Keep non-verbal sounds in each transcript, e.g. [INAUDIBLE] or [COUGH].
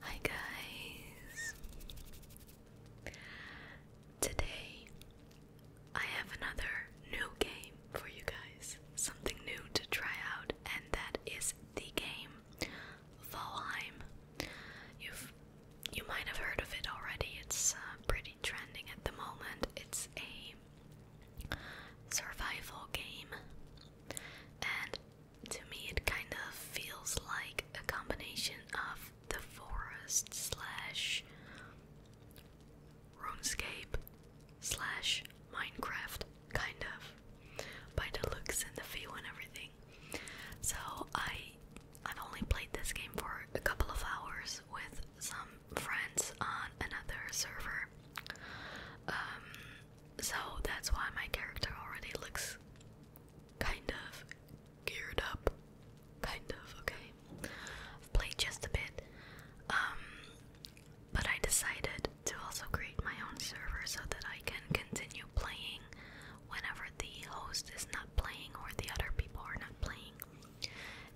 Hi guys. Today I have another new game for you guys. Something new to try out and that is the game Valheim. You've you might have heard of it already. It's uh, pretty trending at the moment. It's a survival game, and to me, it kind of feels like a combination of the forest slash RuneScape slash Minecraft, kind of, by the looks and the feel and everything. So I, I've only played this game for a couple of hours with some um, friends on another server. Um, so that's why my character already looks kind of geared up. Kind of, okay. i played just a bit. Um, but I decided to also create my own server so that I can continue playing whenever the host is not playing or the other people are not playing.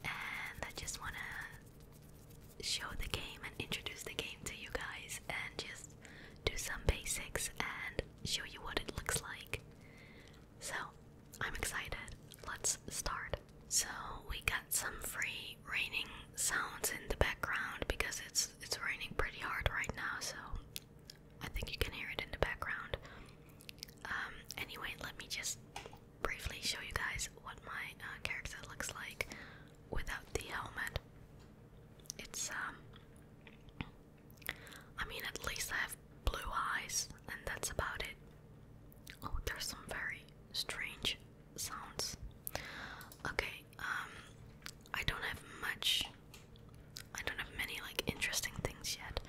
And I just wanna show the game and introduce the game to you guys and just do some basics and show you what it looks like. So, I'm excited. Let's start. So, we got some free raining sounds in the background because it's it's raining pretty hard right now, so I think you can hear it in the background. Um anyway, let me just briefly show you guys what my uh, character looks like without the helmet. It's, um, I mean, at least I have blue eyes, and that's about it. Oh, there's some very strange sounds. Okay, um, I don't have much, I don't have many, like, interesting things yet.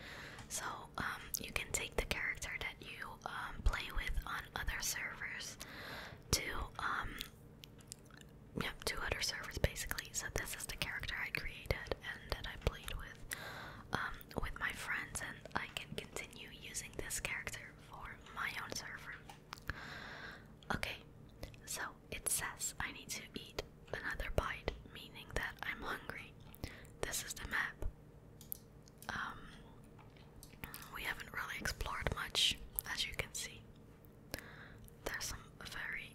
So, um, you can take the character that you um, play with on other servers to um yep two other servers basically so this is the character I created and that I played with um, with my friends and I can continue using this character for my own server okay so it says I need to eat another bite meaning that I'm hungry this is the map um, we haven't really explored much, as you can see. There's some very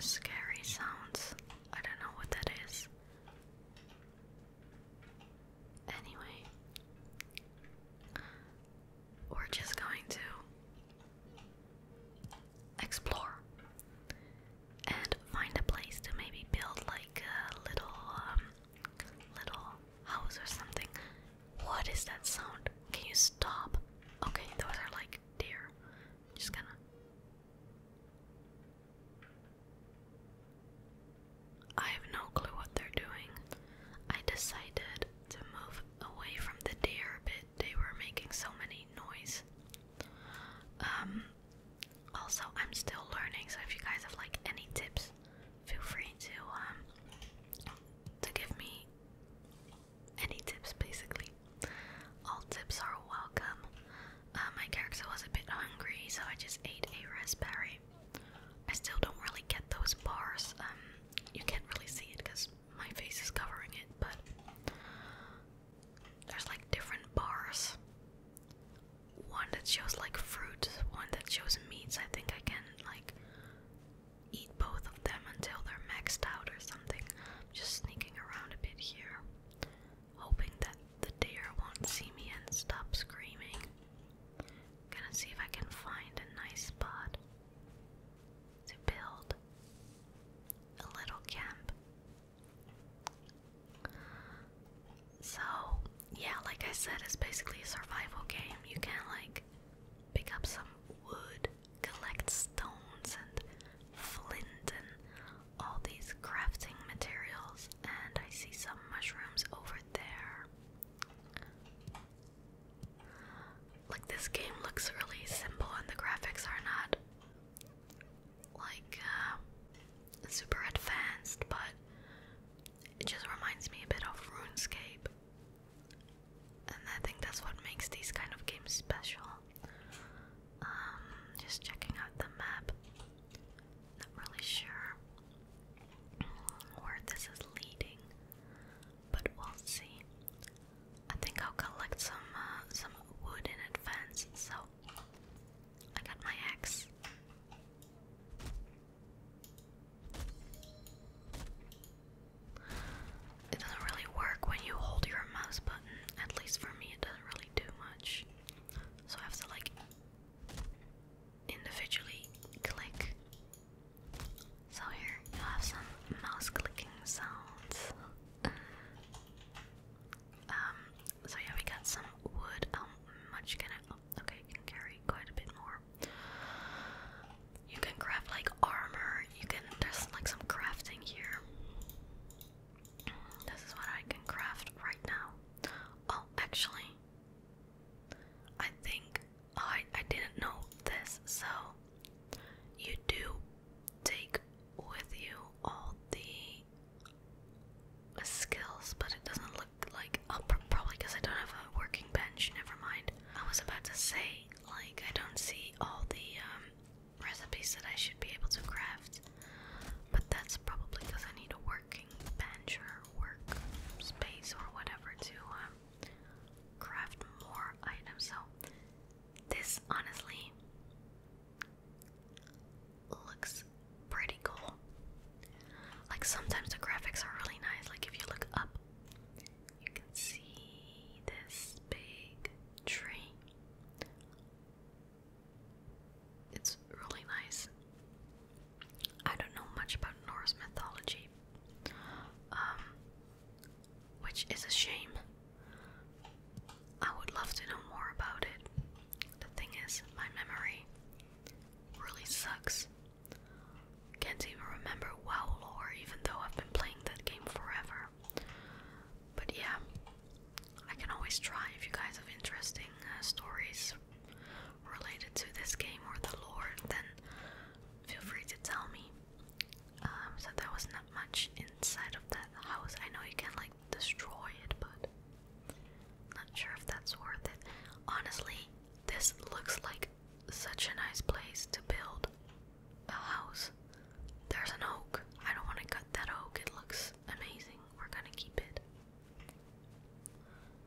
scary sounds. I don't know what that is. Anyway, we're just going to explore and find a place to maybe build like a little um, little house or something. What is that sound? Can you stop? Okay, those are like deer. just gonna. I have no clue what they're doing. I decided to move away from the deer a They were making so many noise. Um, also, I'm still learning, so if you guys have like any tips, feel free to um to give me any tips basically. All tips are welcome. Uh, my character was a bit hungry, so I just ate a raspberry. I still don't really get those bars. Um, you can't really see it because my face is covering it, but there's like different bars one that shows like fruits, one that shows meats. I think I can like eat both of them until they're maxed out or something. I'm just sneaking around a bit here, hoping that the deer won't see me and stop screaming. Gonna see if I can find a nice spot to build a little camp. So, yeah, like I said, it's basically a survival game. You can, like, pick up some wood, collect stones and flint and all these crafting materials. And I see some mushrooms over there. Like, this game looks really simple, and the graphics are not like uh, super advanced, but it just reminds me a bit of RuneScape. And I think that's what makes these kind of games special. Um, just checking out the map. Not really sure where this is leading, but we'll see. I think I'll collect some uh, some wood in advance, so I got my axe. It doesn't really work when you hold your mouse button. At least for me, it doesn't really do much. So I have to like individually click. So here you have some mouse clicking sounds. um. So yeah, we got some wood. How much can I? Okay, you can carry quite a bit more. You can craft like armor. You can there's like some crafting here. This is what I can craft right now. Oh, actually, I think oh, I I didn't know this. So you do take with you all the skills, but it doesn't look like. Oh, probably because I don't have a working bench. Never mind. I was about to say, like, I don't see all the um, recipes that I should be able to craft, but that's probably because I need a working bench or work space or whatever to um, craft more items. So, this honestly looks pretty cool. Like sometimes the graphics are really nice. Like if you look up, you can see this big tree. It's really nice. I don't know much about Norse mythology, um, which is a shame. I would love to know more about it. The thing is, my memory Really sucks. Can't even remember WoW lore, even though I've been playing that game forever. But yeah, I can always try if you guys have interesting uh, stories related to this game or the lore, then feel free to tell me. Um, so there was not much inside of that house. I know you can like destroy it, but not sure if that's worth it. Honestly, this looks like such a nice place to build a house. There's an oak. I don't want to cut that oak. It looks amazing. We're gonna keep it.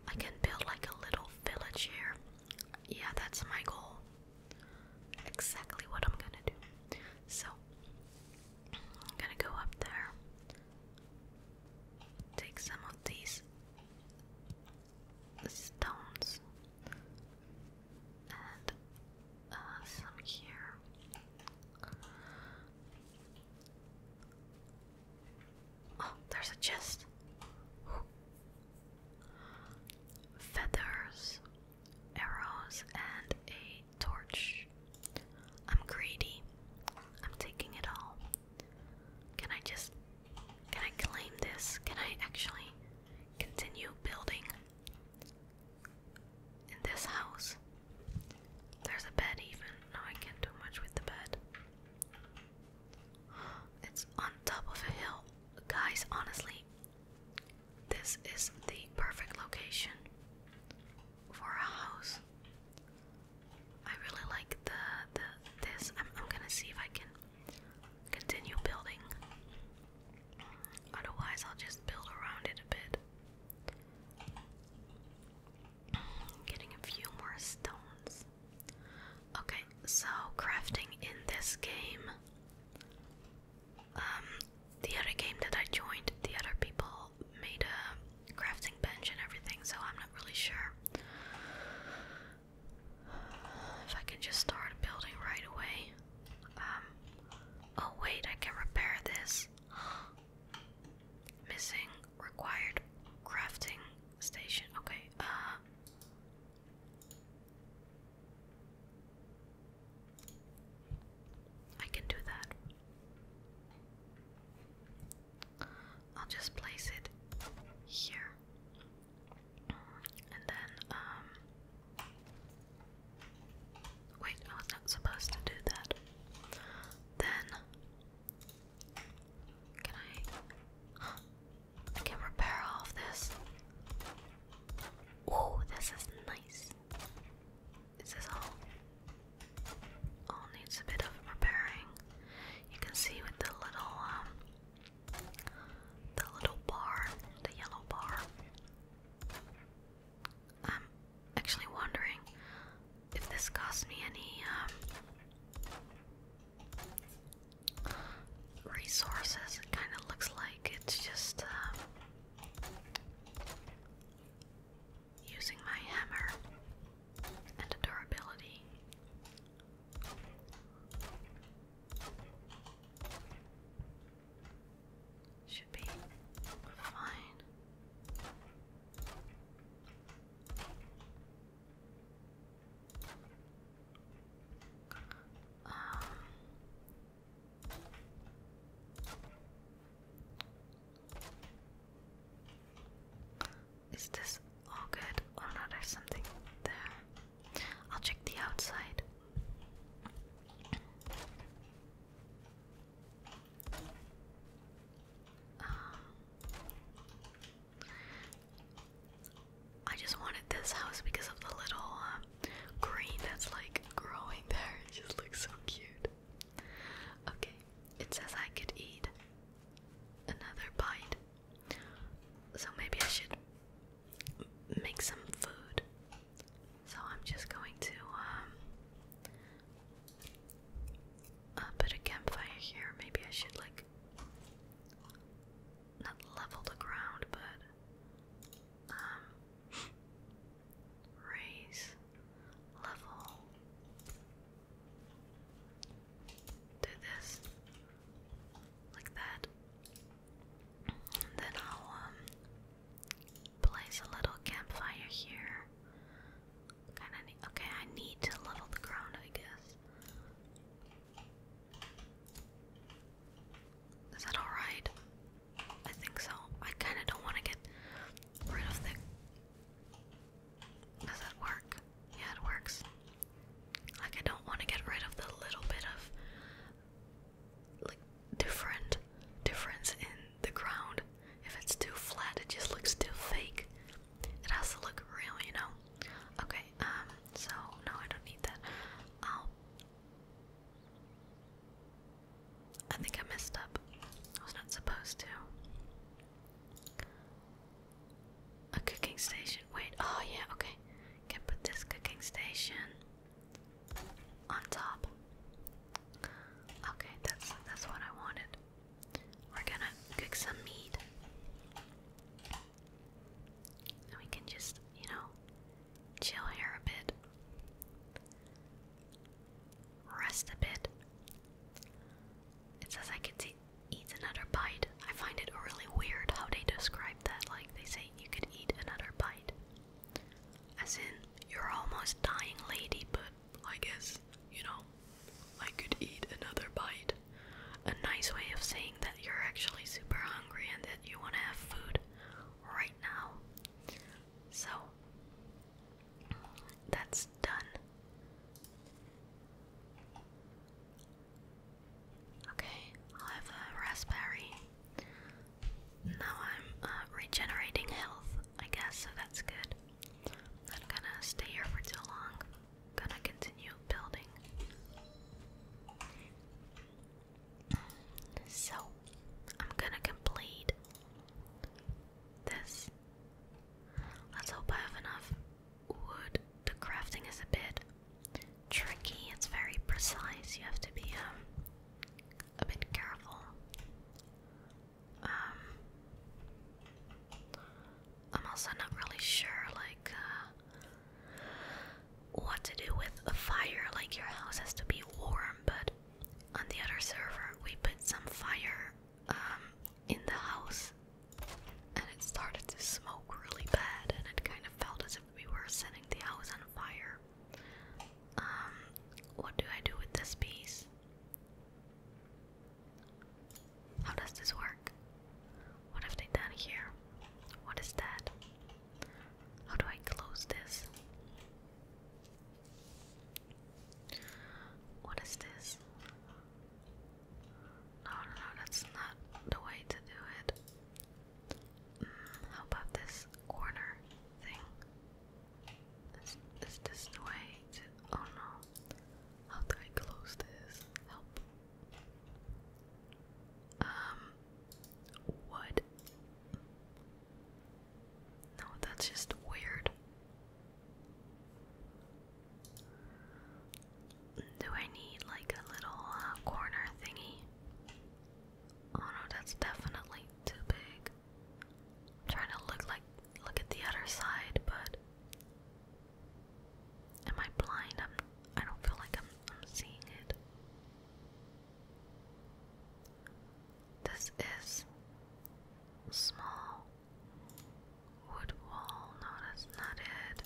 I can build like a little village here. Yeah, that's my goal. Exactly what I'm gonna do. So, I'm gonna go up there take some of these stones and uh, some here. Oh, there's a chest. Feathers, arrows, and a torch. I'm greedy. I'm taking it all. Can I just. Can I claim this? Can I actually continue building in this house? There's a bed, even. No, I can't do much with the bed. [GASPS] It's on top of a hill. Guys, honestly, this is the perfect location for a house. I really like the the this. I'm I'm gonna see if I can continue building. Otherwise, I'll just build around it a bit. Getting a few more stones. Okay, so crafting in this game. Um, the other game that I joined, the other people made a crafting bench and everything, so I'm not really sure if I can just start building right away. Um, oh, wait, I can repair this. [GASPS] Missing required crafting station. Okay, uh, I can do that. I'll just place it here. And then, um. Wait, I was not supposed to do that. Then. Can I. [GASPS] can repair all of this. Oh, this is nice. Is this all? All needs a bit of preparing. You can see with the little um, the little bar, the yellow bar. I'm actually wondering if this costs me any um, resources. It kinda looks like it's just um, using my hammer and durability. Should be fine. Um, is this all good? or not? there's something there. I'll check the outside. Um, I just wanted this house because of the little um, green that's like growing there. [LAUGHS] It just looks so cute. Okay, it says I could eat another bite. So maybe I should make some food. So I'm just going to um uh, put a campfire here. Maybe I should like not level the ground, but um raise level do this like that. then I'll um, place a little campfire here. Kinda okay, I need to level the ground, I guess. Is that alright? I think so. I kinda don't wanna get rid of the does that work? Yeah, it works. Like, I don't want to get rid of the little bit of, like, different difference in the ground. If it's too flat, it just looks too fake. It has to look real, you know? Okay, um, so, no, I don't need that. I'll... I think I messed up. I was not supposed to. A cooking station. Wait, oh yeah, okay. Can put this cooking station on top. Okay, that's that's what I wanted. We're gonna cook some meat. And we can just, you know, chill here a bit. Rest a bit. It says I can see eat another bite. I find it really weird how they describe that. Like they say you could eat another bite. As in, you're almost dying, lady, but I guess, you know, I could eat another bite. A nice way of saying that you're actually super hungry and that you want to have food right now. So, that's done. Okay, i have a raspberry. Now I'm uh, regenerating health, I guess, so that's good. I'm gonna stay here for too long. gonna continue building. So, I'm gonna complete this Let's hope I have enough wood. The crafting is a bit tricky, it's very precise. You have to be um, a bit careful. Um, I'm also not really sure, like, uh, what to do with a fire. Like, your house has to be warm, but on the other server, we put some fire um, in the house and it started to smoke really bad and it kind of felt as if we were setting the house on fire. Um, what do I do with this piece? How does this work? What have they done here? What is that? How do I close this? What is this? No, no, that's not the way to do it. Mm, how about this corner thing? Is, is this way to. Oh no. How do I close this? Help. Um. What? No, that's just weird. Do I need like a little uh, corner thingy? Oh no, that's definitely too big. trying to look like look at the other side, but am I blind? I'm. I don't feel like I'm. I'm seeing it. This is small. Wood wall, no, that's not it.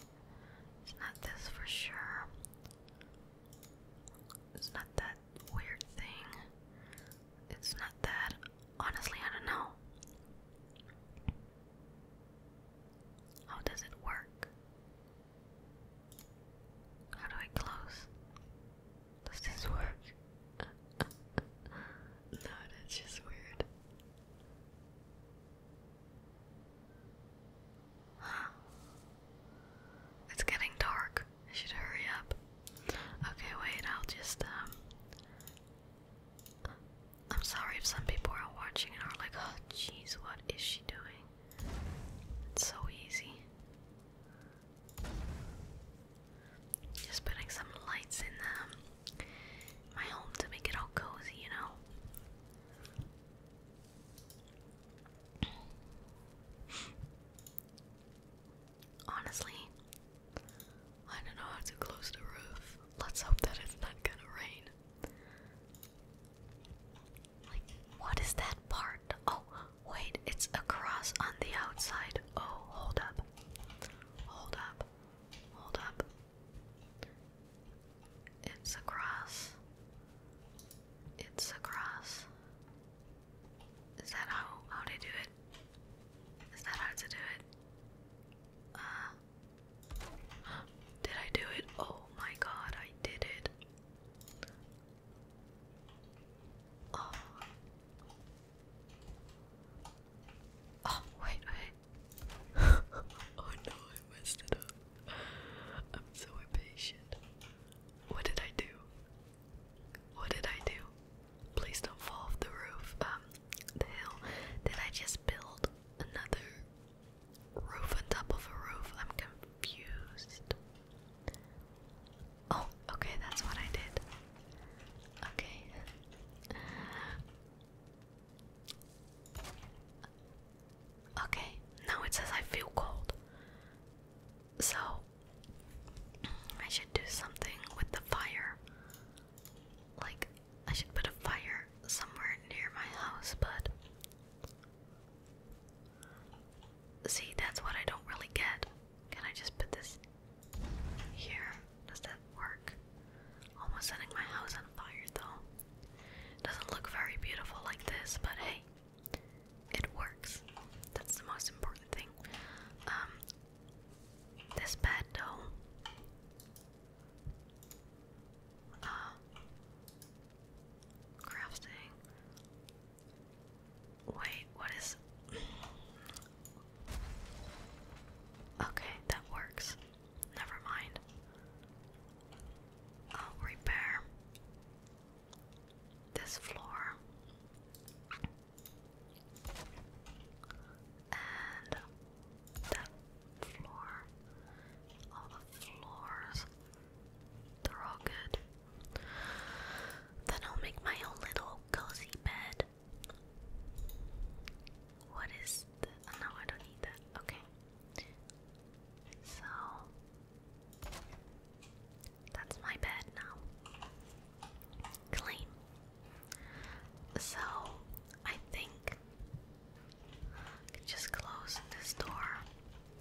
It's not this for sure. It's not that weird thing. It's not that. Honestly, I don't know. How does it work? How do I close? Does this work? [LAUGHS] No, that's just weird. [GASPS] It's getting dark. I should hurry up. Okay, wait, I'll just, um. I'm sorry if some people are watching and are like, oh, jeez, what is she doing? It's so easy. Just putting some lights in um, my home to make it all cozy, you know? Honestly, I don't know how to close the roof. Let's hope that it's not gonna rain. Like, what is that part? Oh, wait, it's a cross on the outside. Oh, hold up. Hold up. Hold up. It's across. It's across. Is that how how they do it? Is that how to do it? Uh [GASPS] did I do it? Oh my god, I did it. Oh Oh, wait, wait. [LAUGHS] oh no, I messed it up. I'm so impatient. What did I do? What did I do? Please don't fall off the roof. Um, the hill. Did I just build another roof on top of a roof? I'm confused. Oh, okay, that's what I did. Okay. Okay, now it says I feel cold. So, I should do something with the fire. Like, I should put a fire somewhere near my house, but. See, that's what I don't really get. Can I just put this here, does that work? Almost setting my house on fire though. Doesn't look very beautiful like this, but hey, it works. That's the most important thing. Um, this bed though. Uh, crafting. Wait, what is Okay, that works. Never mind. I'll repair this floor. And that floor. All the floors. They're all good. Then I'll make my own little cozy bed. What is the. Ah, no, I don't need that. Okay. So. That's my bed now. Clean. So, I think just close this door.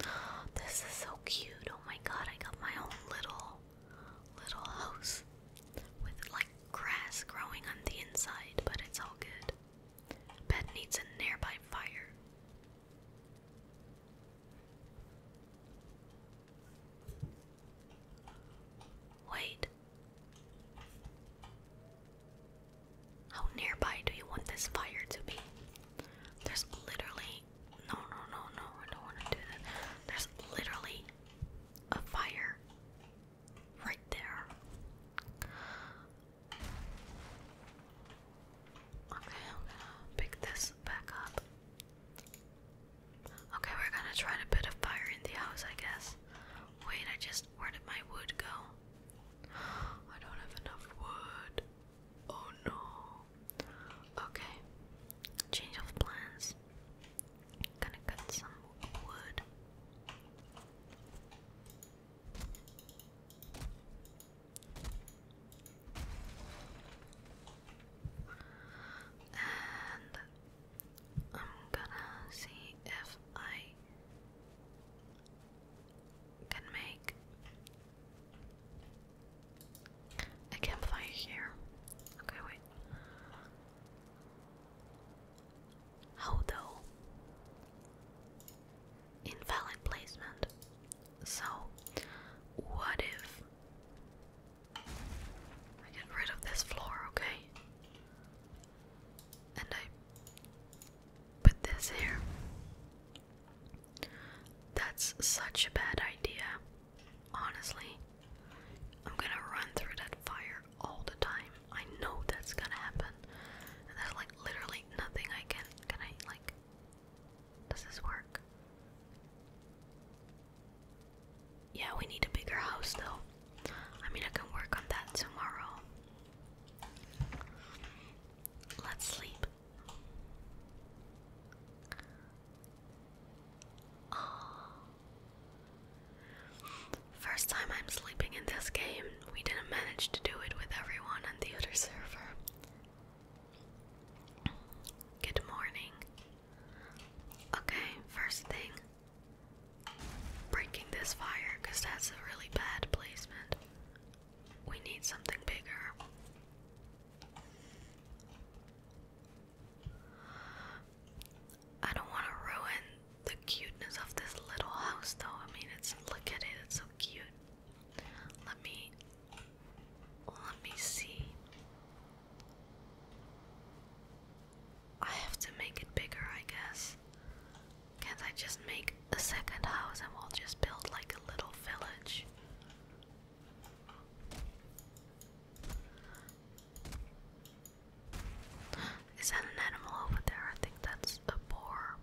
[GASPS] This is so cute. Oh my god, I got my own little little house with like grass growing on the inside, but it's all good. Bed needs a nearby fire. Wait. How nearby do you want this fire to be? There's literally. No, no, no, no, I don't want to do that. There's literally a fire right there. Okay, I'm gonna pick this back up. Okay, we're gonna try to put a fire in the house, I guess. Wait, I just. Where did my wood go? I don't have enough wood. Oh no. Okay. Change of plans. Gonna cut some wood. And I'm gonna see if I can make a campfire here. Okay, wait. How though? Invalid placement. So, what if I get rid of this floor, okay? And I put this here. That's such a bad idea. Honestly, I'm gonna run through that fire all the time. I know that's gonna happen. And there's like literally nothing I can. Can I, like. Does this work? Yeah, we need a bigger house though. I mean, I can work on that tomorrow. Let's sleep. First time I'm sleeping in this game, we didn't manage to do it with everyone on the other server. Good morning. Okay, first thing breaking this fire because that's a really bad placement. We need something bigger. I don't want to ruin the cuteness of this little house, though. I mean, it's look at it; it's so cute. Let me, let me see. I have to make it bigger, I guess. Can't I just make a second house and we'll just build like a little village? Is that an animal over there? I think that's a boar.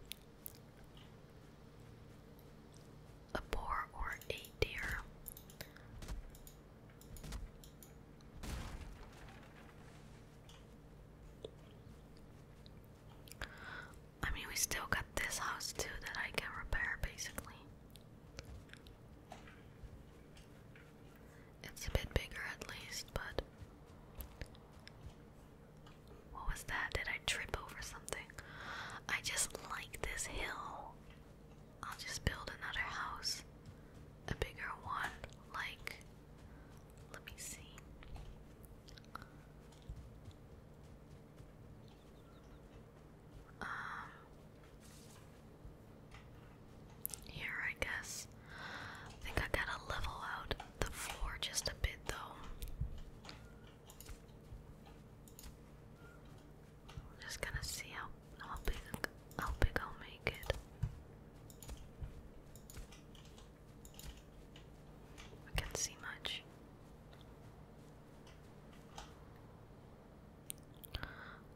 A boar or a deer. I mean, we still got this house too that I can repair basically. It's a bit bigger at least, but. What was that? Did I trip over something? I just like this hill. I'll just build another house. A bigger one, like. Let me see. Um. Here, I guess. I think I gotta level out the floor just a bit, though. just gonna see how how big how big I'll make it. can't see much.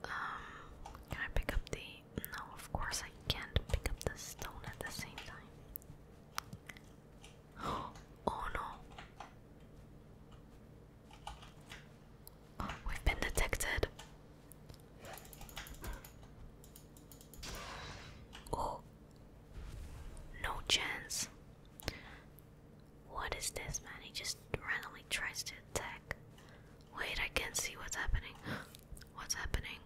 Um, can I pick up the. No, of course I can't pick up the stone at the same time. [GASPS] Oh no! Oh, we've been detected! [GASPS] Oh! No chance! What is this man? He just randomly tries to attack. Wait, I can't see what's happening. [GASPS] What's happening?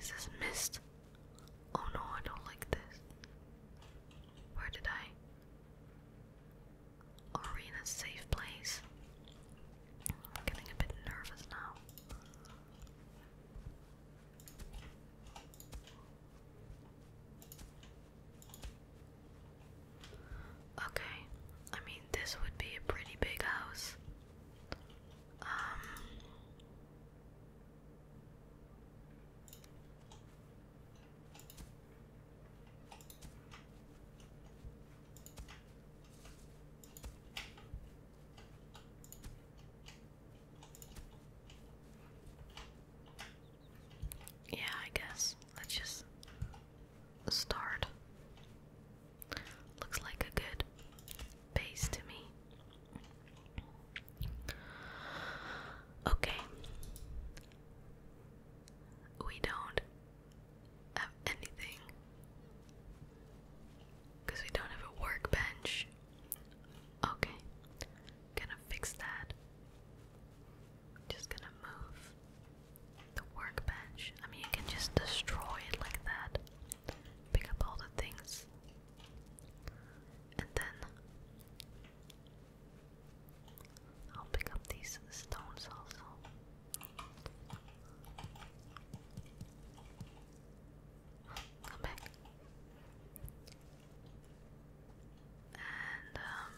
Is this mist? Oh no, I don't like this. Where did I? Arena's safe place. I'm getting a bit nervous now. Okay, I mean, this would be a pretty big house. Um. Yeah, I guess. Let's just start. Looks like a good base to me. Okay. We don't have anything because we don't have a workbench. Okay, gonna fix that. Just gonna move the workbench. I mean, you can just destroy it like that. Pick up all the things. And then I'll pick up these stones also. Come back. And um,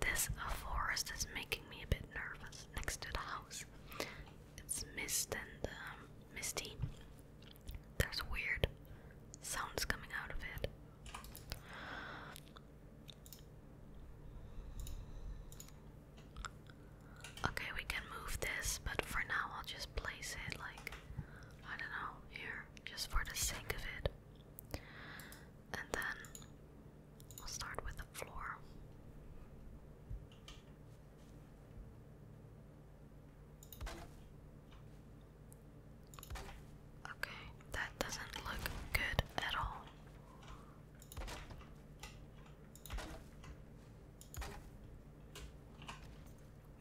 this uh, forest is making me a bit nervous next to the house. It's mist and um, misty. There's weird sounds coming out of it. Okay, we can move this, but for now I'll just place it like I don't know, here, just for the sake of it. And then we'll start with the floor. Okay, that doesn't look good at all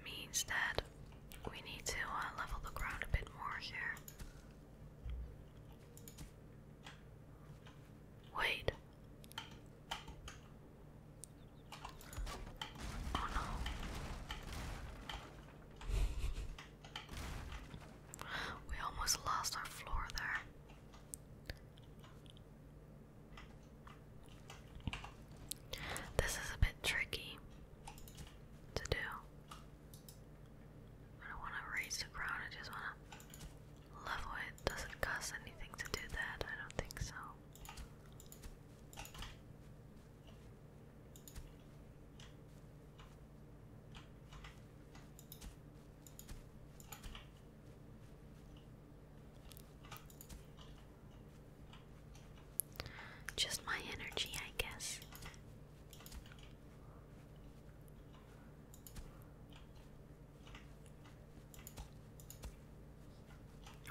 means that we need to uh, level the ground a bit more here. Wait. Oh no. [LAUGHS] We almost lost our floor there. This is a bit tricky to do. I don't want to raise the crowd, I just want to level it. Does not cost anything to do that? I don't think so. Just my energy, I guess.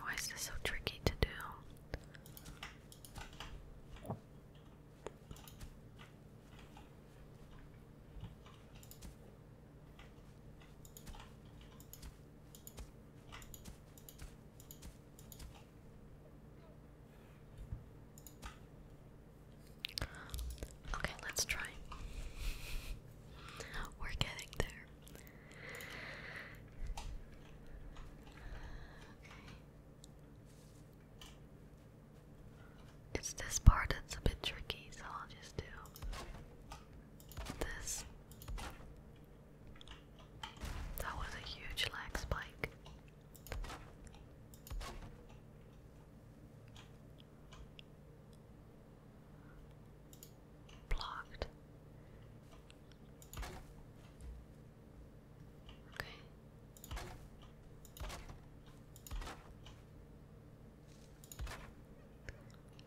Why is this so tricky to do? Okay, let's try. [LAUGHS] We're getting there. It's this part that's a bit tricky, so I'll just do this. That was a huge lag spike. Blocked. Okay.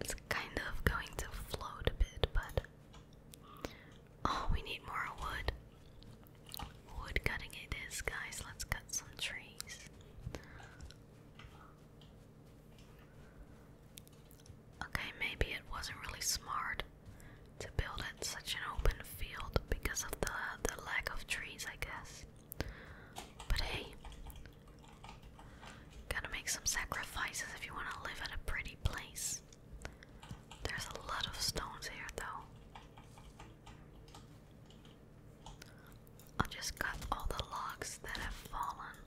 It's kind of going to float a bit, but Oh, we need more wood. Wood cutting it is, guys. Let's cut some trees. Okay, maybe it wasn't really smart to build at such an open field because of the the lack of trees, I guess. But hey, gotta make some sacrifices if you want to live at a pretty place. There's a lot of stones here, though. I'll just cut all the logs that have fallen.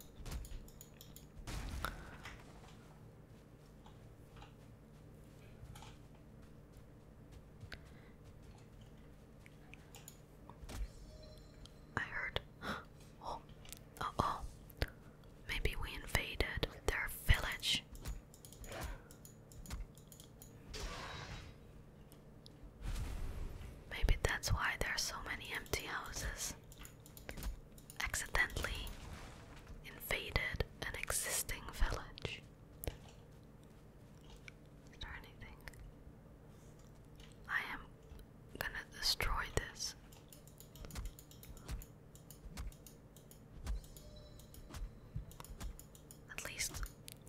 I heard. [GASPS] Oh, uh oh. Maybe we invaded their village. Maybe that's why there are so many empty houses. Accidentally invaded an existing village. Is anything? I am gonna destroy this. At least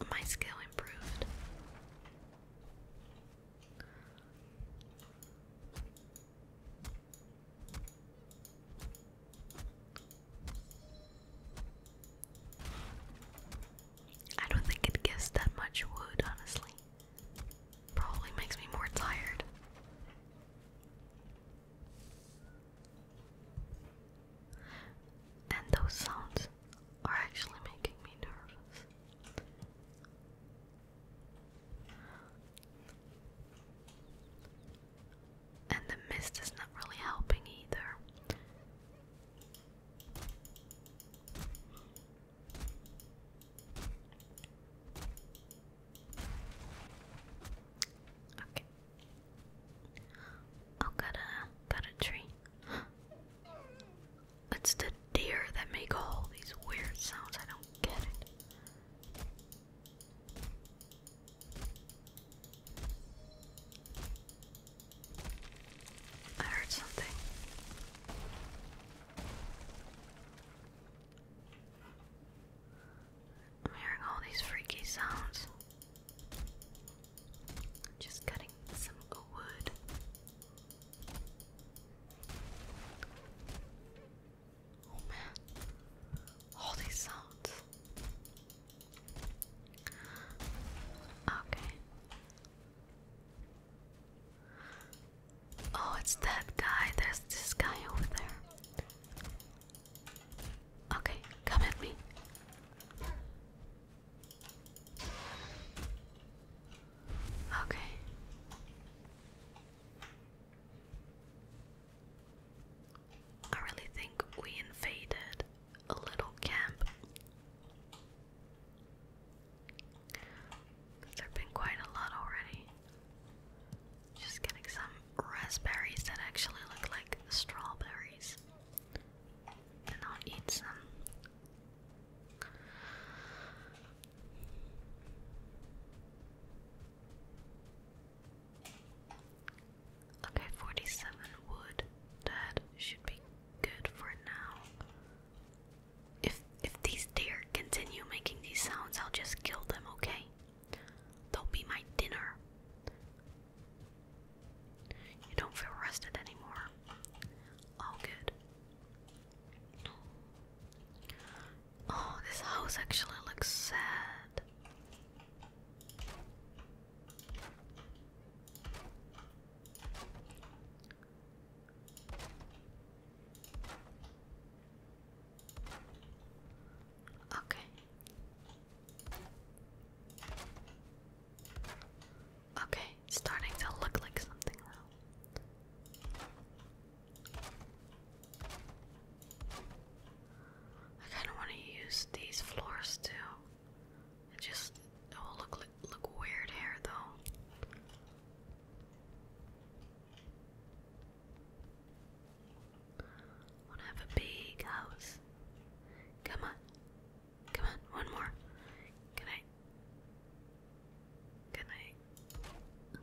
my skill improved. I don't think it gives that much wood, honestly. Probably makes me more tired. And those sounds are actually making me nervous. And the mist is not really helping either. Okay. Oh, got a got a tree. [GASPS] It's the deer that make all these weird sounds. I don't get it. I heard something. I'm hearing all these freaky sounds. Just cutting some wood. Oh man, all these sounds. Okay. Oh, it's that guy. There's this guy over there. Okay, come at me. Okay. I really think we invaded a little camp. There's been quite a lot already. Just getting some raspberries that actually look like strawberries. And I'll eat some. Okay, 47 wood. That should be good for now. If if these deer continue making these sounds, I'll just kill them, okay? They'll be my dinner. You don't feel rested anymore. All good. Oh, this house actually looks sad. Okay. Okay, starting to look like something now. I kind of want to use these floors too. It just it will look look weird here though. Wanna have a big house. Come on. Come on, one more. Good night. Good night.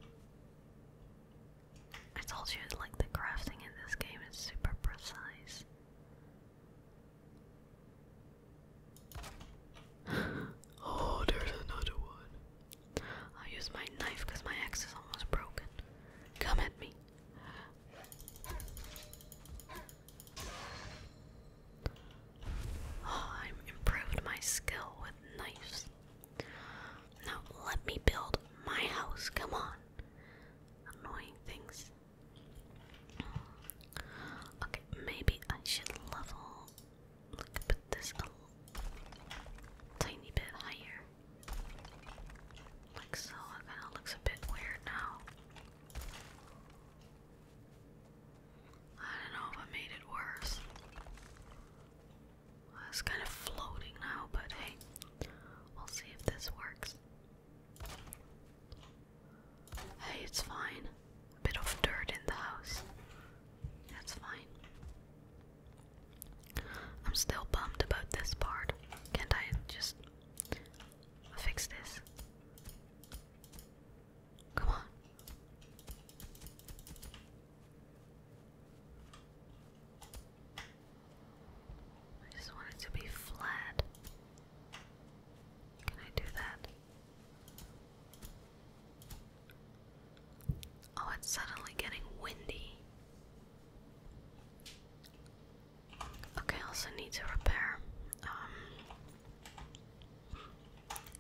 I told you like the crafting in this game is super precise. [GASPS] oh, there's another one. I'll use my knife because my axe is almost broken. Come at me. Oh, I've improved my skill with knives. Now let me build my house. Come on. Annoying things. Okay, maybe I should level. Look, put this a tiny bit higher. Like so, it kind of looks a bit weird now. I don't know if I made it worse. it's kind of floating now, but hey, we'll see if this works. Hey, it's fine. A bit of dirt in the house. That's fine. I'm still bummed about this part. Can't I just fix this? Come on. I just want it to be flat. Can I do that? Oh, it's suddenly getting windy. Okay, also need to repair. Um,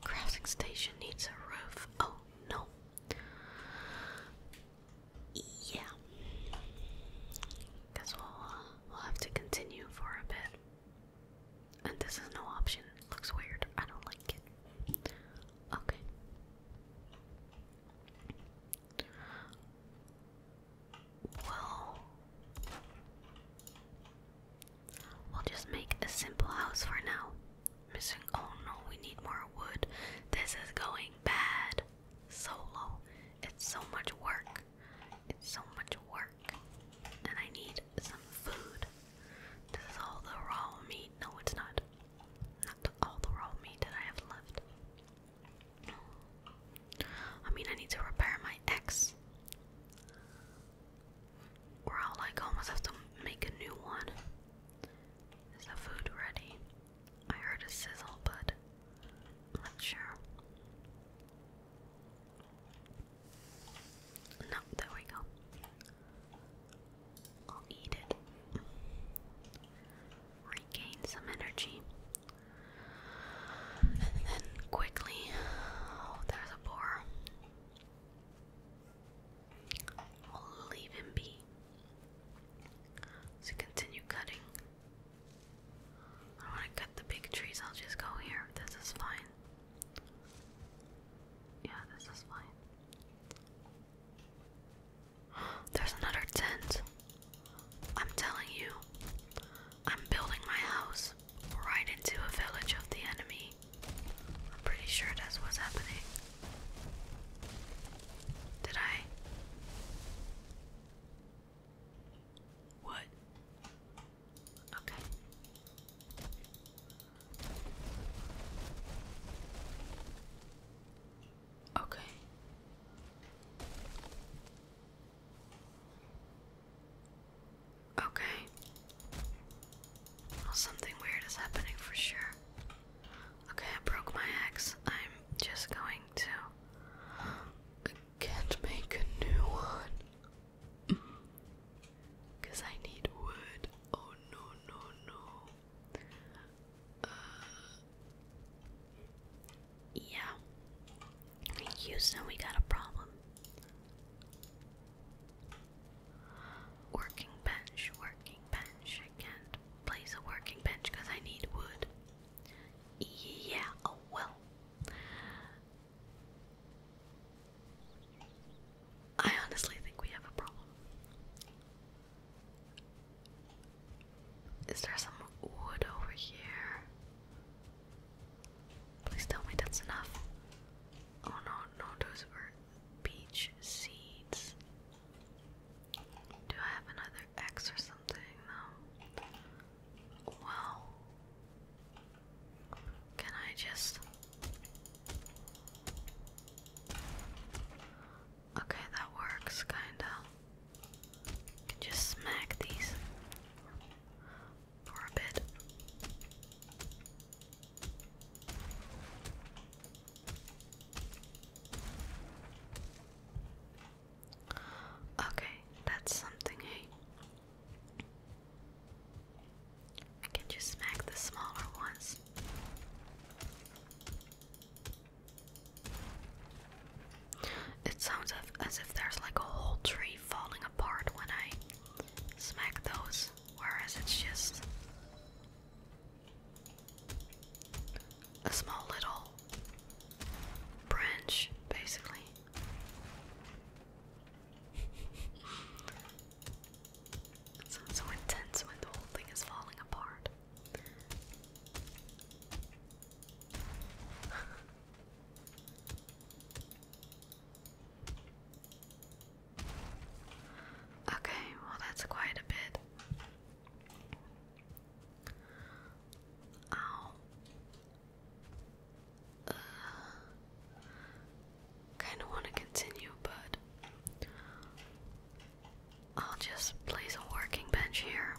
crafting station needs a roof. Oh no. Yeah. Guess we'll uh, we'll have to continue for a bit. And this is no option. Looks weird. I don't like it. Okay. Well, we'll just make a simple house for now. Oh no, we need more wood. This is going bad. Solo. It's so much work. It's so much work. And I need some food. This is all the raw meat. No, it's not. Not all the raw meat that I have left. I mean, I need to repair my axe. Or I'll like almost have to make a new one. Is the food ready? I heard a sizzle, but not sure. No, there we go. I'll eat it. Regain some energy. And then quickly, oh, there's a boar. I'll leave him be. So continue cutting. I want to cut the big trees, I'll just go here. This is fine. Yeah, this is fine. There's another tent. I'm telling you, I'm building my house right into a village of the enemy. I'm pretty sure that's what's happening. Did I? What? Okay. Okay. Okay. Well, something weird is happening for sure. Okay, I broke my axe. I'm just going to. can't make a new one. Because mm. I need wood. Oh no, no, no. Uh, yeah. Houston, we got a problem. Working bench, working bench. I place a working bench because I need wood. Yeah, oh well. I honestly think we have a problem. Is there some wood over here? Please tell me that's enough. Oh no, no, those were beach seeds. Do I have another X or something? No. Wow. Can I just. Okay, that works, kinda. just smack these for a bit. Okay, that's something, hey? can just smack the smaller ones. It sounds as if there's like a whole tree falling apart when I smack those, whereas it's just a small little branch, basically. [LAUGHS] sounds so intense when the whole thing is falling apart. [LAUGHS] okay, well, that's quite a bit. Ow. Uh, kind of want to continue, but I'll just place a working bench here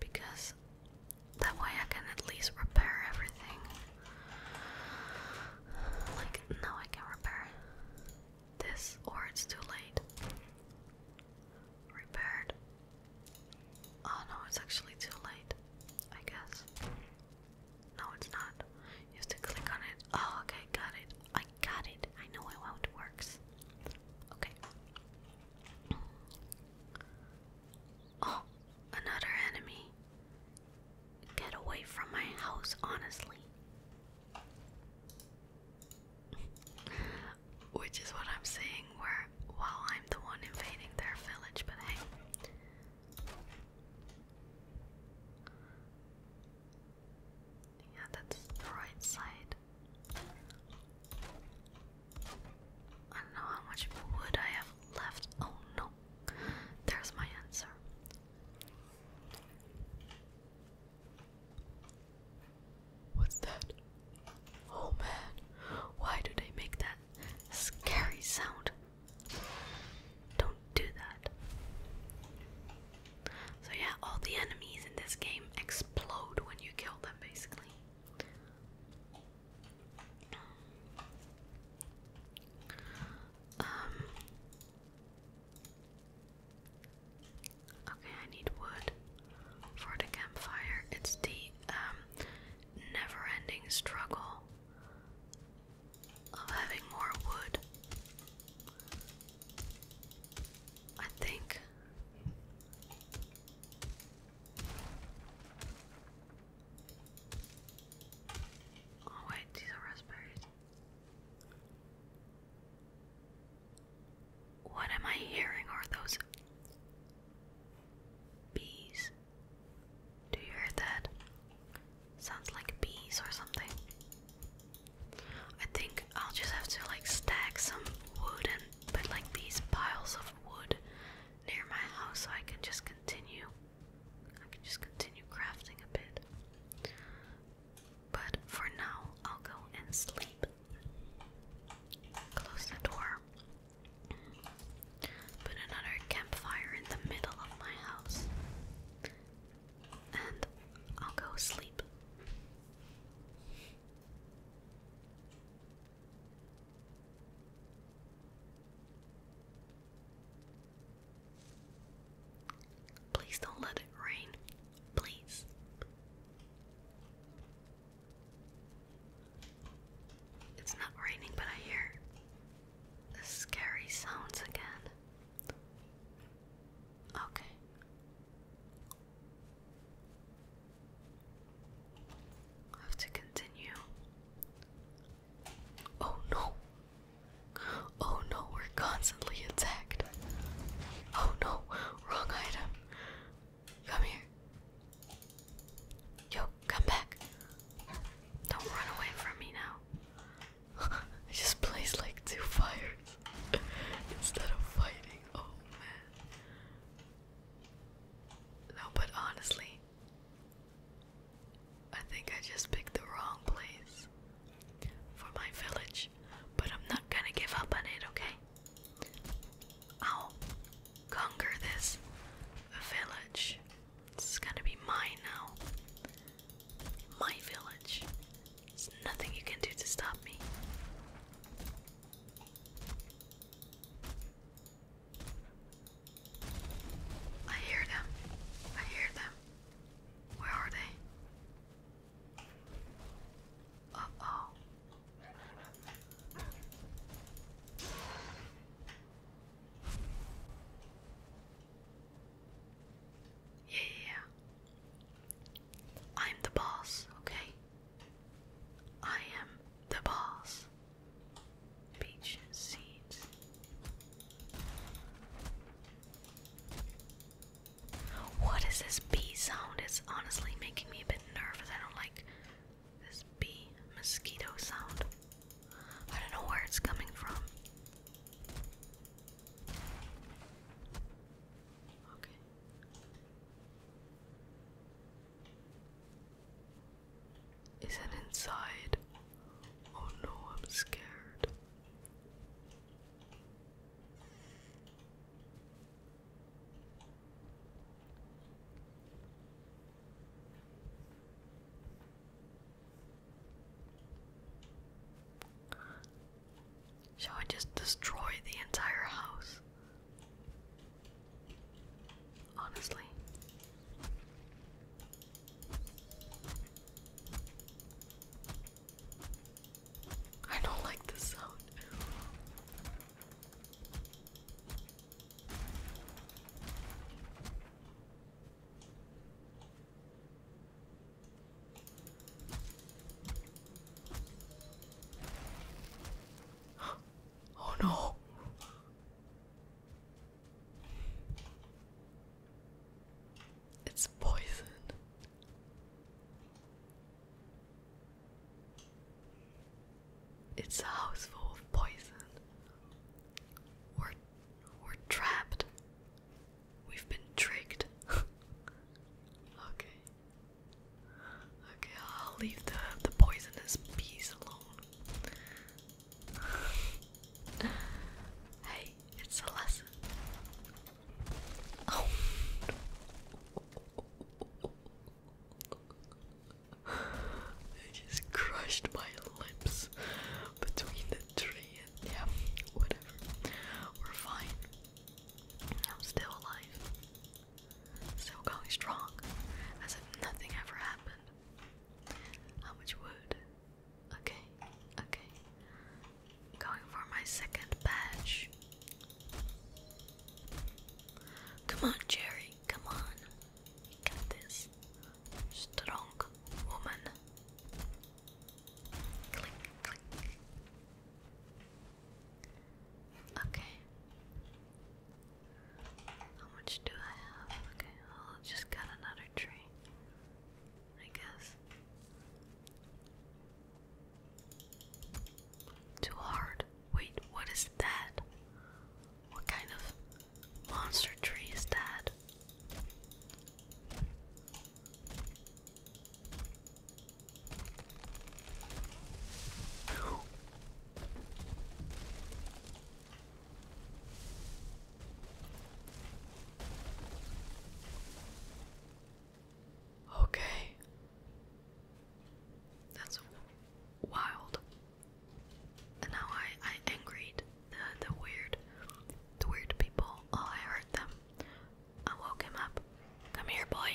because that way I can at least repair everything. Like, no, I can repair this, or it's too late. Repaired. Oh no, it's actually too late, I guess. No, it's not. You have to click on it. Oh, okay, got it got it. I know how it works. Okay. Oh, another enemy. Get away from my house, honestly. Which is what I'm saying, where, while I'm the one invading their village, but hey. Yeah, that's the right side. I don't know how much wood I have left. Oh no, there's my answer. What's that? Oh man, why do they make that scary sound? Don't do that. So yeah, all the enemies in this game explode when you kill them basically. Um, okay, I need wood for the campfire. It's the um, never-ending struggle of having more wood I think. Oh, wait, these are raspberries. What am I hearing? Are those bees? Do you hear that? Sounds like bees or something. I think I'll just have to like stack some wood and put like these piles of wood near my house so I can just continue. I can just continue crafting a bit. But for now, I'll go and sleep. Close the door. Put another campfire in the middle of my house and I'll go sleep. Please don't let it rain. Please. It's not raining, but I hear the scary sounds again. Okay. I have to continue. Oh no! Oh no, we're constantly attacked. Oh no, wrong item. Come here. Yo, come back. Don't run away from me now. [LAUGHS] I just placed like two fire instead of fighting. Oh man. No, but honestly, I think I just picked the wrong place for my village, but I'm not gonna give up on it, okay? I'll conquer this village. It's gonna be mine now. My village. There's nothing you can do to stop me. I hear them. I hear them. Where are they? Uh oh. Yeah, yeah, I'm the boss, okay? I am the boss. Peach seeds. What is this bee sound? It's honestly making me a bit nervous. I don't like this bee mosquito sound. I don't know where it's coming from. Is it inside? Oh no, I'm scared. Shall I just destroy the entire house? Honestly. I don't like this sound. [GASPS] Oh no. It's poison. It's a house full of poison. We're we're trapped. We've been tricked. [LAUGHS] okay. Okay, I'll leave the the poisonous bees alone. [LAUGHS] hey, it's a lesson. Oh. I [LAUGHS] just crushed my lips between the tree and yeah, whatever. We're fine. I'm still alive. Still going strong. As if nothing ever happened. How much wood? Okay, okay. Going for my second badge. Come on, Jerry, come on. You got this. Strong woman. Okay. How much do I have? Okay, well, I just got another tree. I guess. Too hard. Wait, what is that? What kind of monster tree is that? Okay. That's wild. And now I I angered the the weird the weird people. Oh, I hurt them. I woke him up. Come here, boy.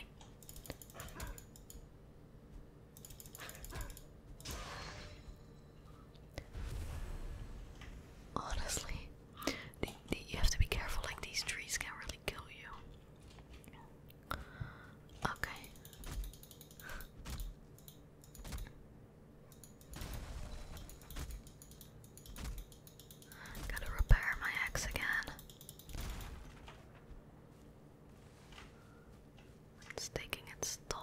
Honestly, you have to be careful, like, these trees can really kill you. Okay. Gotta repair my axe again. It's taking its toll.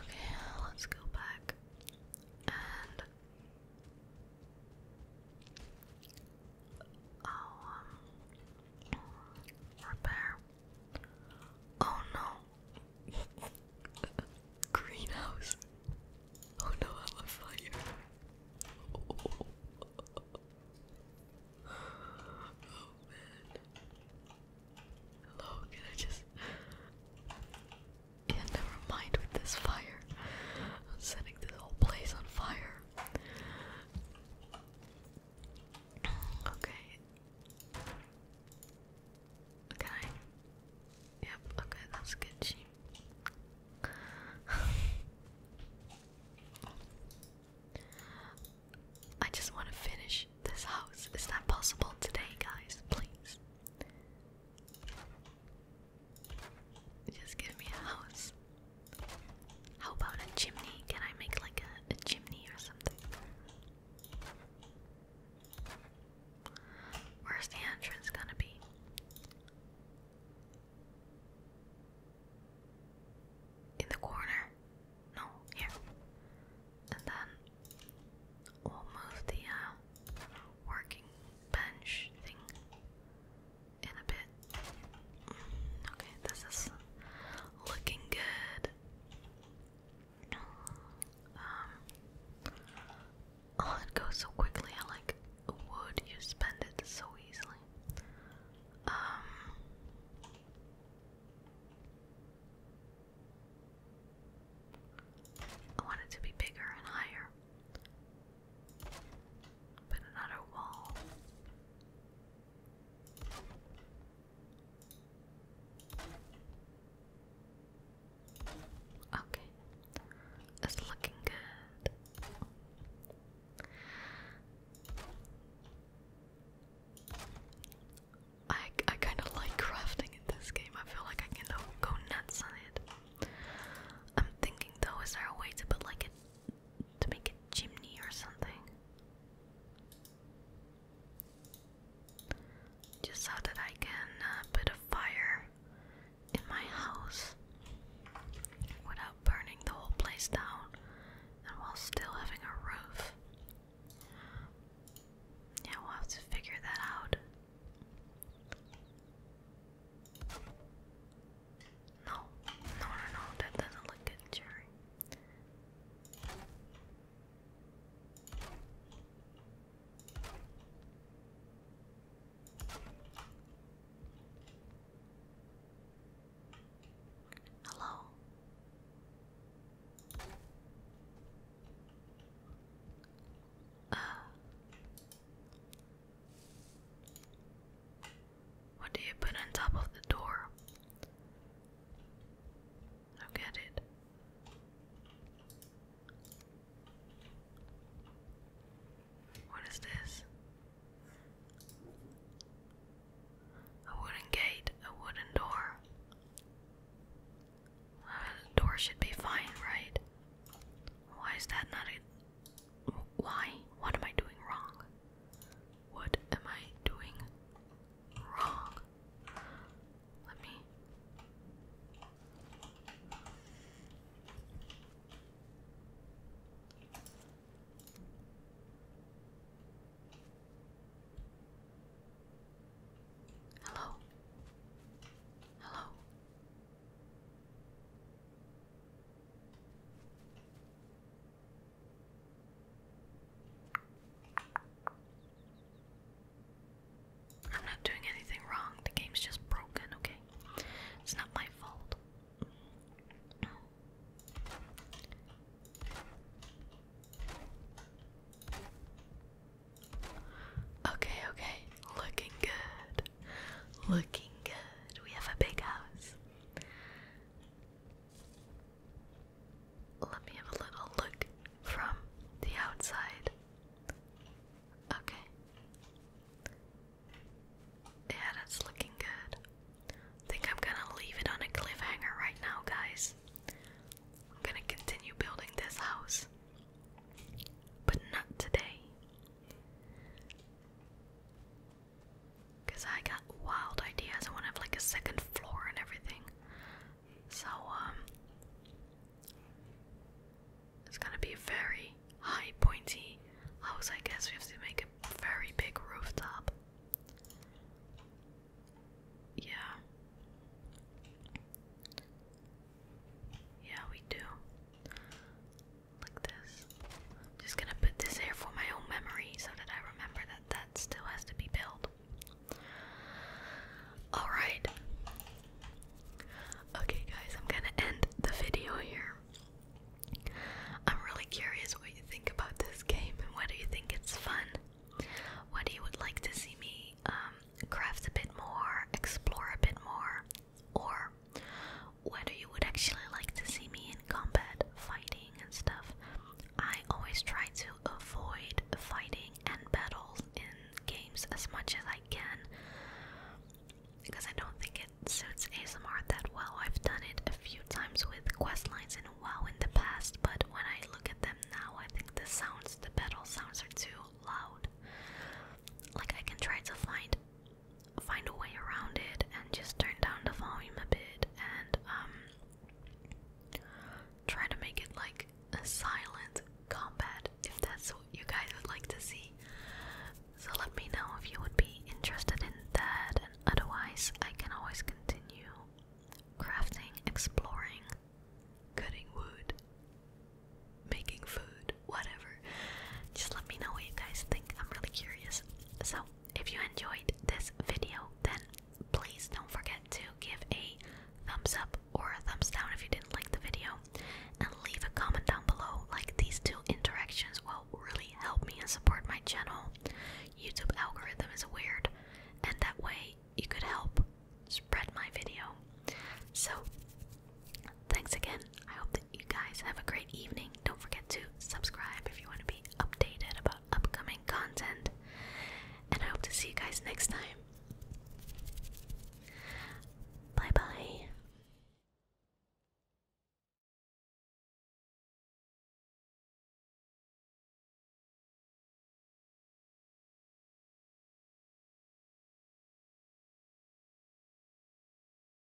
Okay, let's go back Oh, repair. Oh no, [LAUGHS] greenhouse. Oh no, i fire. Oh. man. Hello, I just. Yeah, never mind with this fire. I'm setting this whole place on fire. Okay. Can Yep, okay, that's good. I just want to finish this house. Is that possible today, guys? Please. Just give me a house. How about a chimney? Can I make like a, chimney or something? Where's the entrance gonna be? In the corner? No, here. And then we'll move the uh, working bench thing in a bit. Okay, this is looking good. Um, oh, it goes so quickly. I like wood. You spend it so easily. Um, I want it to be bigger and higher. But another wall. Okay. It's looking good. I I kind of like crafting in this game. I feel like I can go nuts on it. I'm thinking though, is there a way to put like a to make a chimney or something. Just so that I can uh, put a fire in my house without burning the whole place down and while still having a roof. Yeah, we'll have to figure that out. No, no, no, no, that doesn't look good, Jerry. Hello. Uh. What do you put on top of the door? I get it. What is this? A wooden gate, a wooden door. the door should be fine, right? Why is that not a why? What am I doing wrong? What am I doing wrong? Let me. Hello? Hello? I'm not doing anything wrong. The game's just broken, okay? It's not my fault. Okay, okay. Looking good. Looking good. We have a big house. Let me have a little look from the outside. Okay. Yeah, that's looking good. think I'm gonna leave it on a cliffhanger right now, guys. I'm gonna continue building this house. But not today. Cause I got wild ideas. I wanna have like a second floor and everything. So um it's gonna be a very high pointy house, I guess. We have to make a very big rooftop. Yeah. Yeah, we do like this. I'm just gonna put this here for my own memory so that I remember that that still has to be built. Alright. Okay, guys, I'm gonna end the video here. I'm really curious what you think about this game and whether you think it's fun. What do you would like to see me um, craft a bit more, explore a bit more, or whether you would actually like to see me in combat, fighting and stuff. I always try to avoid fighting and battles in games as much as I can because I don't think it suits ASMR that well. I've done it a few times with quest lines in WoW in the past, but when I look at them now, I think the sounds, the battle sounds are too loud. Like I can try to find find a way around it and just turn down the volume a bit and um try to make it like a silent combat if that's what you guys would like to see. So let me know if you would be interested in that and otherwise I can always continue crafting, exploring, cutting wood, making food, whatever. Just let me know what you guys think. I'm really curious. So, if you enjoyed this video, then please don't forget to give a thumbs up or a thumbs down if you didn't like the video, and leave a comment down below. Like these two interactions will really help me and support my channel. YouTube algorithm is weird, and that way you could help spread my video. So, thanks again. I hope that you guys have a great evening. Don't forget to subscribe if you want to be updated about upcoming content. And I hope to see you guys next time. Bye bye.